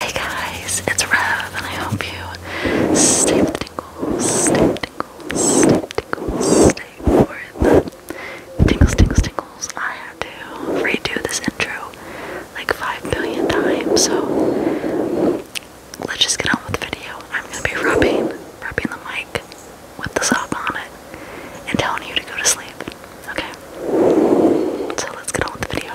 Hey guys, it's Rev, and I hope you stay with stay with stay with stay for the tingles, tingles, tingles. I had to redo this intro like five billion times, so let's just get on with the video. I'm gonna be rubbing, rubbing the mic with the sock on it, and telling you to go to sleep. Okay, so let's get on with the video.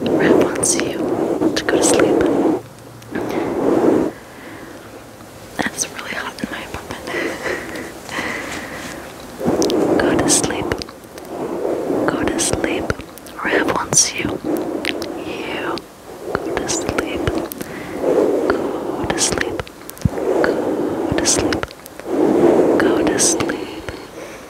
Red wants you to go to sleep. That's really hot in my apartment. go to sleep. Go to sleep. Rev wants you. You to Go to sleep. Go to sleep. Go to sleep. Go to sleep.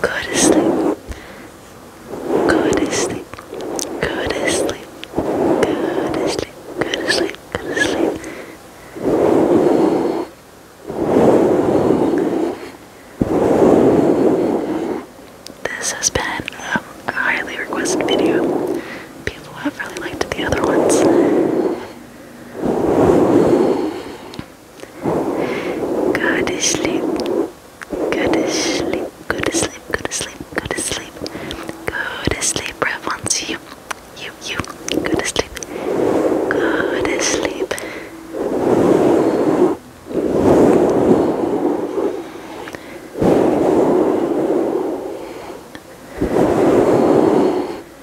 Go to sleep. Go to sleep. Go to sleep. Go to sleep. Go to sleep. Go to sleep. This has been a highly requested video. People have really liked the other ones. Go to sleep. Go to sleep. Go to sleep. Go to sleep. Go to sleep. Go to sleep. Right once you, you, you. Go to sleep. Go to sleep. Go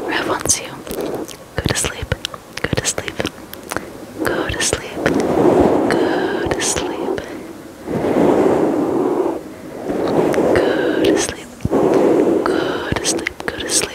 Rev wants you. Go to sleep. Go to sleep. Go to sleep. Go to sleep. Go to sleep. Go to sleep. Go to sleep.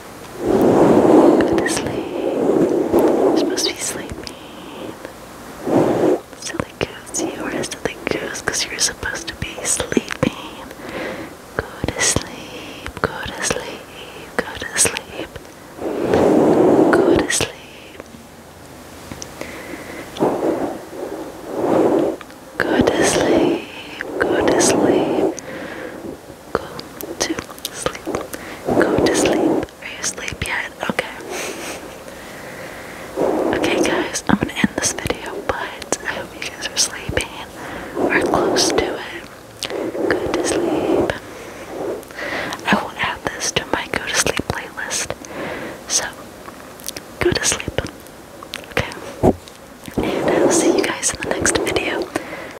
Go to sleep. You're supposed to be sleeping. Silly goose, you are a silly goose because you're supposed to be sleeping. Go to sleep, go to sleep, go to sleep. Go to sleep. Go to sleep, go to sleep. Go to sleep. Go to sleep. Go to sleep. Are you asleep yet? Okay. Okay, guys, I'm gonna end this video, but I hope you guys are sleeping We're close to it. Go to sleep. I will add this to my go to sleep playlist. So, go to sleep. Okay. And I'll see you guys in the next video.